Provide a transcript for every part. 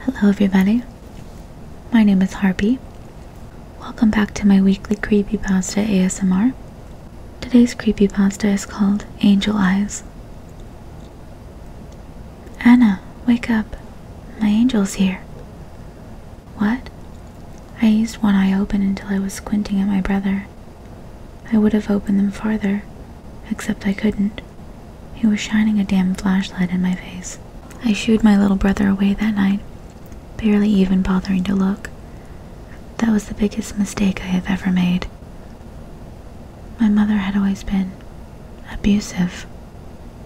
Hello, everybody. My name is Harpy. Welcome back to my weekly creepy pasta ASMR. Today's creepy pasta is called Angel Eyes. Anna, wake up. My angel's here. What? I used one eye open until I was squinting at my brother. I would have opened them farther, except I couldn't. He was shining a damn flashlight in my face. I shooed my little brother away that night, barely even bothering to look. That was the biggest mistake I have ever made. My mother had always been abusive,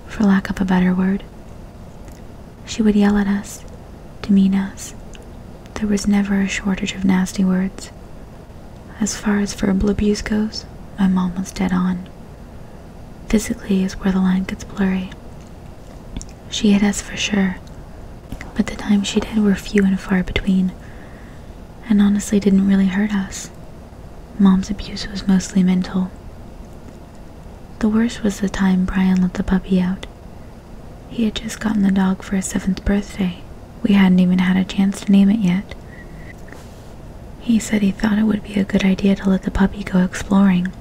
for lack of a better word. She would yell at us, demean us. There was never a shortage of nasty words. As far as verbal abuse goes, my mom was dead on. Physically is where the line gets blurry. She hit us for sure, but the times she did were few and far between, and honestly didn't really hurt us. Mom's abuse was mostly mental. The worst was the time Brian let the puppy out. He had just gotten the dog for his seventh birthday. We hadn't even had a chance to name it yet. He said he thought it would be a good idea to let the puppy go exploring.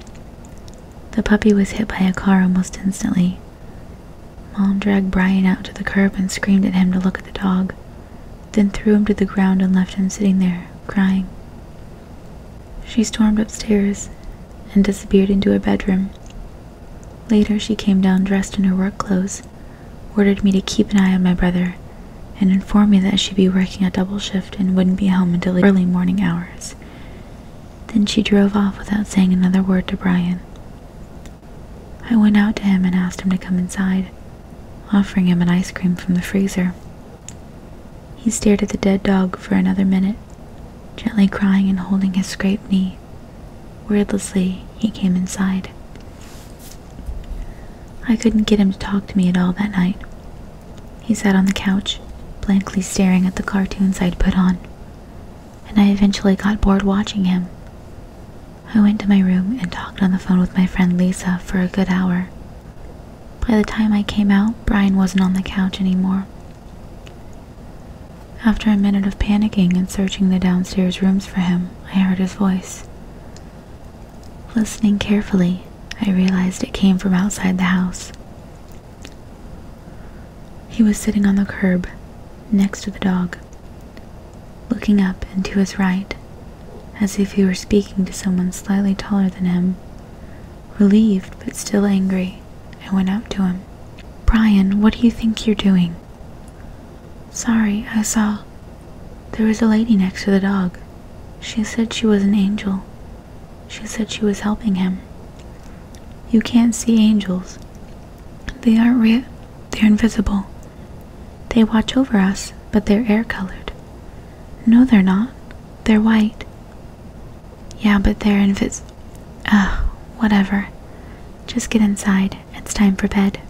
The puppy was hit by a car almost instantly. Mom dragged Brian out to the curb and screamed at him to look at the dog, then threw him to the ground and left him sitting there, crying. She stormed upstairs and disappeared into her bedroom. Later, she came down dressed in her work clothes ordered me to keep an eye on my brother, and informed me that she'd be working a double shift and wouldn't be home until early morning hours. Then she drove off without saying another word to Brian. I went out to him and asked him to come inside, offering him an ice cream from the freezer. He stared at the dead dog for another minute, gently crying and holding his scraped knee. Wordlessly, he came inside. I couldn't get him to talk to me at all that night. He sat on the couch, blankly staring at the cartoons I'd put on, and I eventually got bored watching him. I went to my room and talked on the phone with my friend Lisa for a good hour. By the time I came out, Brian wasn't on the couch anymore. After a minute of panicking and searching the downstairs rooms for him, I heard his voice. Listening carefully, I realized it came from outside the house. He was sitting on the curb, next to the dog, looking up and to his right, as if he were speaking to someone slightly taller than him. Relieved, but still angry, I went up to him. Brian, what do you think you're doing? Sorry, I saw. There was a lady next to the dog. She said she was an angel. She said she was helping him. You can't see angels. They aren't real. They're invisible. They watch over us, but they're air colored. No, they're not. They're white. Yeah, but they're invis. Ugh, ah, whatever. Just get inside it's time for bed.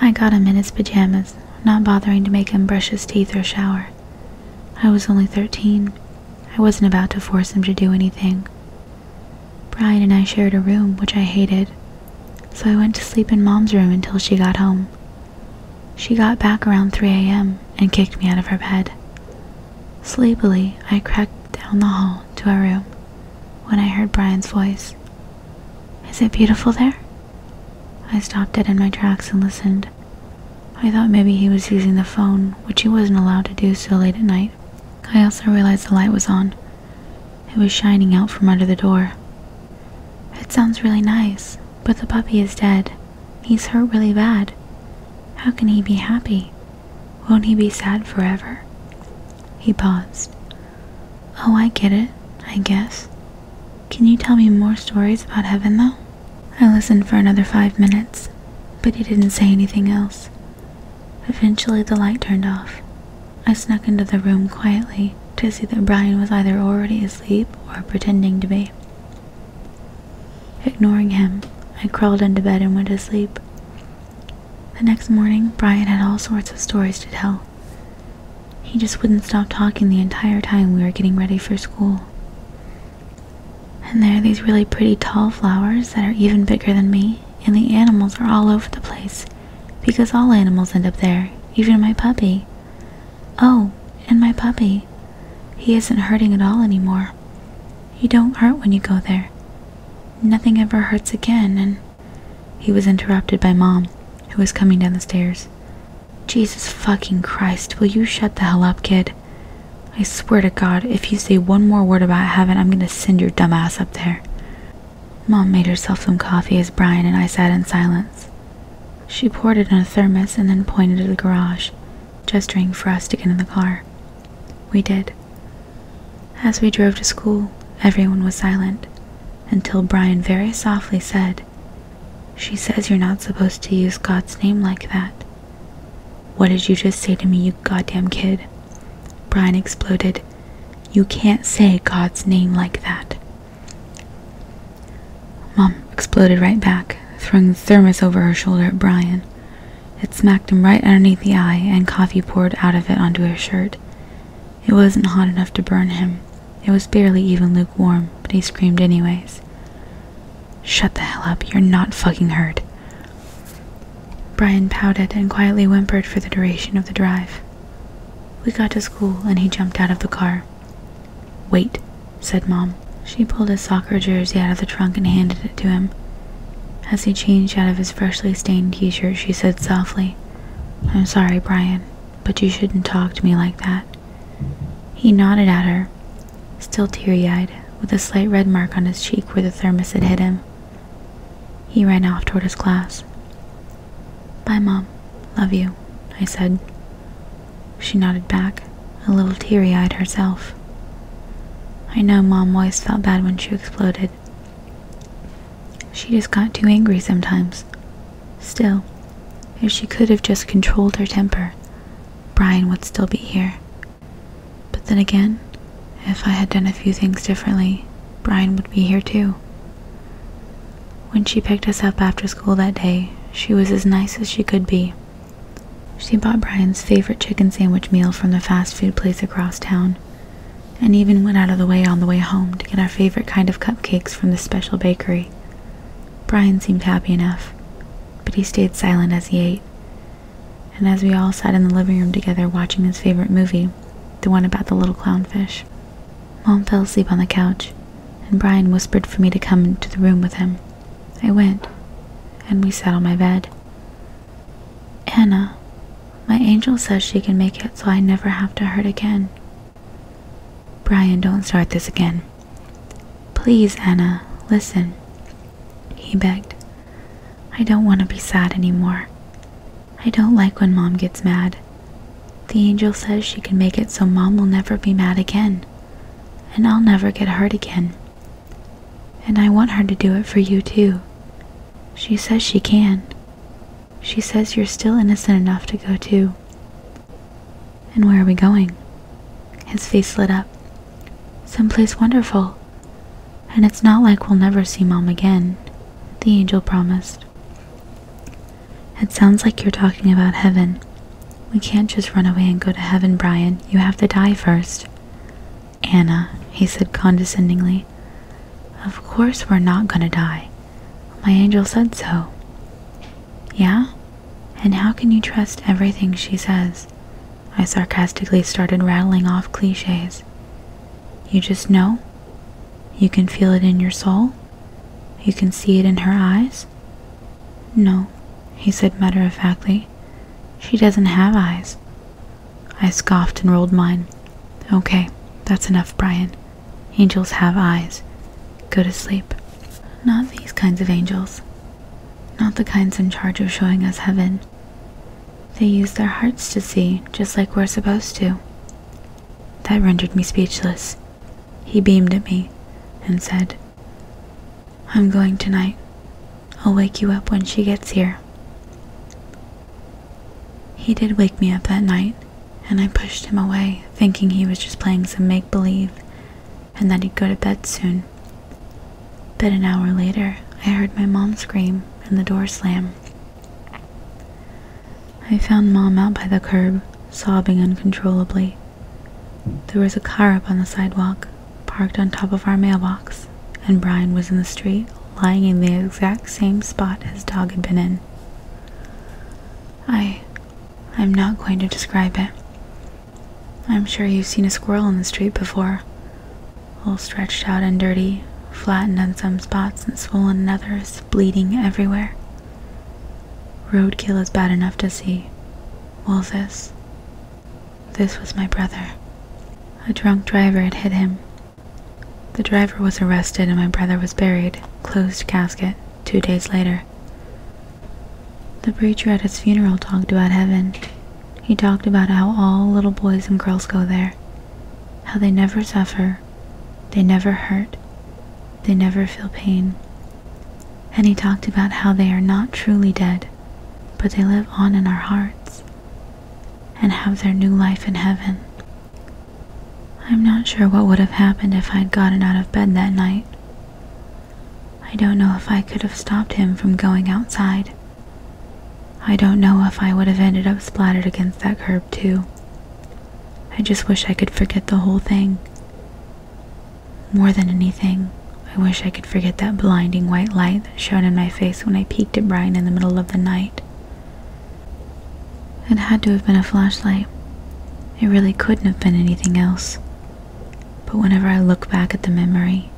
I got him in his pajamas, not bothering to make him brush his teeth or shower. I was only thirteen. I wasn't about to force him to do anything. Brian and I shared a room, which I hated, so I went to sleep in Mom's room until she got home. She got back around 3 a.m. and kicked me out of her bed. Sleepily, I crept down the hall to our room when I heard Brian's voice. Is it beautiful there? I stopped dead in my tracks and listened. I thought maybe he was using the phone, which he wasn't allowed to do so late at night. I also realized the light was on. It was shining out from under the door. It sounds really nice, but the puppy is dead. He's hurt really bad. How can he be happy? Won't he be sad forever? He paused. Oh, I get it, I guess. Can you tell me more stories about heaven, though? I listened for another five minutes, but he didn't say anything else. Eventually, the light turned off. I snuck into the room quietly to see that Brian was either already asleep or pretending to be. Ignoring him, I crawled into bed and went to sleep. The next morning, Brian had all sorts of stories to tell. He just wouldn't stop talking the entire time we were getting ready for school. And there are these really pretty tall flowers that are even bigger than me, and the animals are all over the place, because all animals end up there, even my puppy. Oh, and my puppy. He isn't hurting at all anymore. You don't hurt when you go there. Nothing ever hurts again, and he was interrupted by Mom, who was coming down the stairs. Jesus fucking Christ, will you shut the hell up, kid? I swear to God, if you say one more word about heaven, I'm gonna send your dumb ass up there. Mom made herself some coffee as Brian and I sat in silence. She poured it in a thermos and then pointed to the garage, gesturing for us to get in the car. We did. As we drove to school, everyone was silent until Brian very softly said, She says you're not supposed to use God's name like that. What did you just say to me, you goddamn kid? Brian exploded. You can't say God's name like that. Mom exploded right back, throwing the thermos over her shoulder at Brian. It smacked him right underneath the eye, and coffee poured out of it onto his shirt. It wasn't hot enough to burn him. It was barely even lukewarm, but he screamed anyways. Shut the hell up, you're not fucking hurt. Brian pouted and quietly whimpered for the duration of the drive. We got to school and he jumped out of the car. Wait, said Mom. She pulled his soccer jersey out of the trunk and handed it to him. As he changed out of his freshly stained t shirt, she said softly, I'm sorry, Brian, but you shouldn't talk to me like that. He nodded at her, still teary eyed, with a slight red mark on his cheek where the thermos had hit him. He ran off toward his class. Bye, Mom. Love you, I said. She nodded back, a little teary eyed herself. I know Mom always felt bad when she exploded, she just got too angry sometimes. Still, if she could have just controlled her temper, Brian would still be here. But then again, if I had done a few things differently, Brian would be here too. When she picked us up after school that day, she was as nice as she could be. She bought Brian's favorite chicken sandwich meal from the fast food place across town and even went out of the way on the way home to get our favorite kind of cupcakes from the special bakery. Brian seemed happy enough, but he stayed silent as he ate. And as we all sat in the living room together watching his favorite movie, the one about the little clownfish, Mom fell asleep on the couch, and Brian whispered for me to come into the room with him. I went, and we sat on my bed. Anna, my angel says she can make it so I never have to hurt again. Brian, don't start this again. Please, Anna, listen, he begged. I don't want to be sad anymore. I don't like when mom gets mad. The angel says she can make it so mom will never be mad again, and I'll never get hurt again. And I want her to do it for you too, she says she can. She says you're still innocent enough to go too. And where are we going? His face lit up. Some place wonderful. And it's not like we'll never see Mom again, the angel promised. It sounds like you're talking about heaven. We can't just run away and go to heaven, Brian. You have to die first. Anna, he said condescendingly, of course we're not going to die. My angel said so. Yeah? And how can you trust everything she says? I sarcastically started rattling off cliches. You just know? You can feel it in your soul? You can see it in her eyes? No, he said matter of factly. She doesn't have eyes. I scoffed and rolled mine. Okay, that's enough, Brian. Angels have eyes. Go to sleep. Not these kinds of angels. Not the kinds in charge of showing us heaven. They use their hearts to see, just like we're supposed to. That rendered me speechless. He beamed at me and said, I'm going tonight. I'll wake you up when she gets here. He did wake me up that night, and I pushed him away, thinking he was just playing some make believe and that he'd go to bed soon. But an hour later, I heard my mom scream and the door slam. I found mom out by the curb, sobbing uncontrollably. There was a car up on the sidewalk, parked on top of our mailbox, and Brian was in the street, lying in the exact same spot his dog had been in. I. I'm not going to describe it. I'm sure you've seen a squirrel in the street before, all stretched out and dirty, flattened in some spots and swollen in others, bleeding everywhere. Roadkill is bad enough to see. Well, this this was my brother. A drunk driver had hit him. The driver was arrested and my brother was buried, closed casket, two days later. The preacher at his funeral talked about heaven. He talked about how all little boys and girls go there, how they never suffer, they never hurt, they never feel pain. And he talked about how they are not truly dead, but they live on in our hearts, and have their new life in heaven. I'm not sure what would have happened if I'd gotten out of bed that night. I don't know if I could have stopped him from going outside. I don't know if I would have ended up splattered against that curb, too. I just wish I could forget the whole thing. More than anything, I wish I could forget that blinding white light that shone in my face when I peeked at Brian in the middle of the night. It had to have been a flashlight. It really couldn't have been anything else. But whenever I look back at the memory,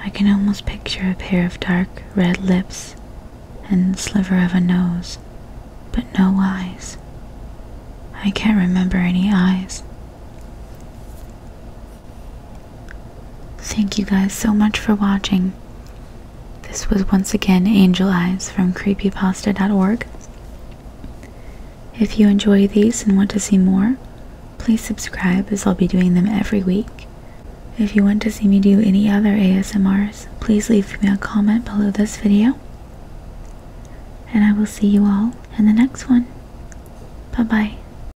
I can almost picture a pair of dark red lips and sliver of a nose, but no eyes. I can't remember any eyes. Thank you guys so much for watching. This was once again Angel Eyes from creepypasta.org. If you enjoy these and want to see more, please subscribe as I'll be doing them every week. If you want to see me do any other ASMRs, please leave me a comment below this video. And I will see you all in the next one. Bye bye.